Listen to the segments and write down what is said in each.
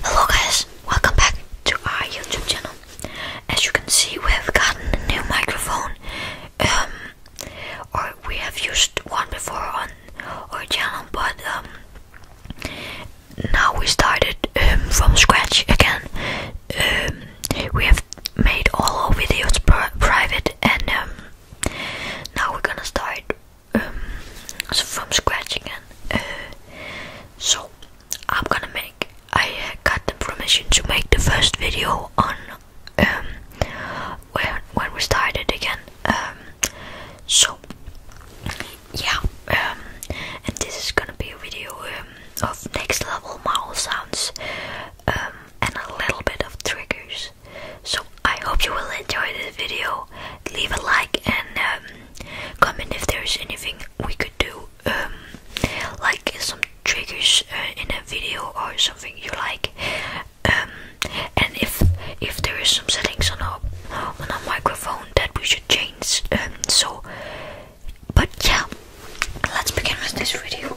Hello guys, welcome back to our YouTube channel. As you can see, we have gotten a new microphone. Um, or we have used one before on our channel, but um, now we started um, from scratch again. Um, we have made all our videos private and um, now we're gonna start um, from scratch again. Uh, so I'm gonna make, I uh, got the permission to make the first video on um, when, when we started again. so yeah, and this is gonna be a video of next level model sounds. Um, and a little bit of triggers. So I hope you will enjoy this video. Leave a like and um, comment if there's anything we could do, um, like some triggers uh, in a video or something you like. and if if there is some settings on our on our microphone that we should change, so but yeah let's begin with this video.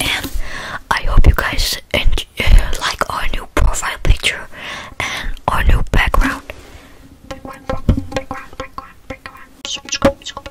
and I hope you guys enjoy, uh, like our new profile picture and our new background. background, background, background subscribe, subscribe.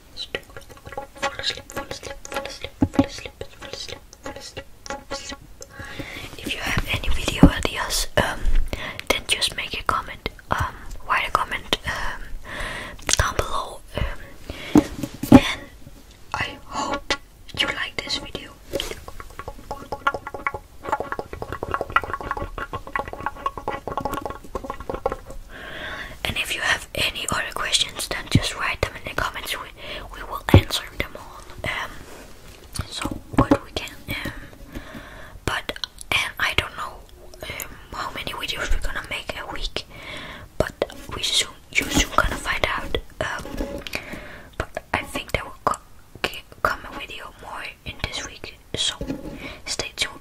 If you have any video ideas, um, then just make a comment. Um, write a comment um, down below. Um, and I hope you like this video. And if you have any other questions, then just write them in the comments. We, we will answer them all. Um, so what we can. Um, but I don't know um, how many videos we're gonna make a week. But we soon, you soon gonna find out. Um, but I think there will co come a video more in this week. So stay tuned.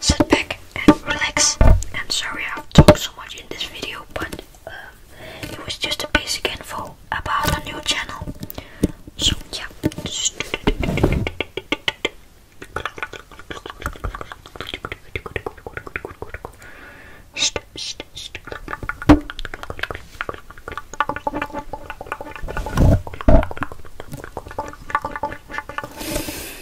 sit back and relax. I'm sorry I've talked so much in this video, but um, it was just a basic info about a new channel. So yeah.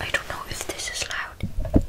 I don't know if this is loud.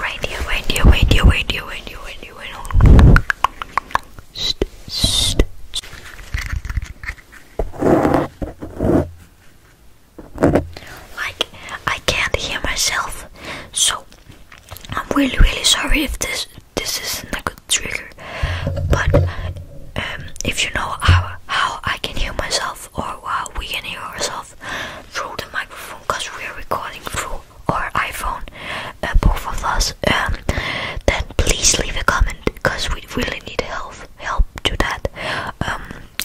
Right here, right here, right here, right here, right here, right here, right here. like, I can't hear myself, so I'm really, really sorry if this this isn't a good trigger, but um, if you know how, how I can hear myself or how we can hear ourselves through the microphone because we are recording through our iPhone, uh, both of us, um, then please leave a comment because we really need help, help to that. Um,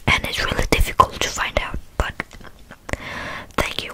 and it's really difficult to find out, but thank you.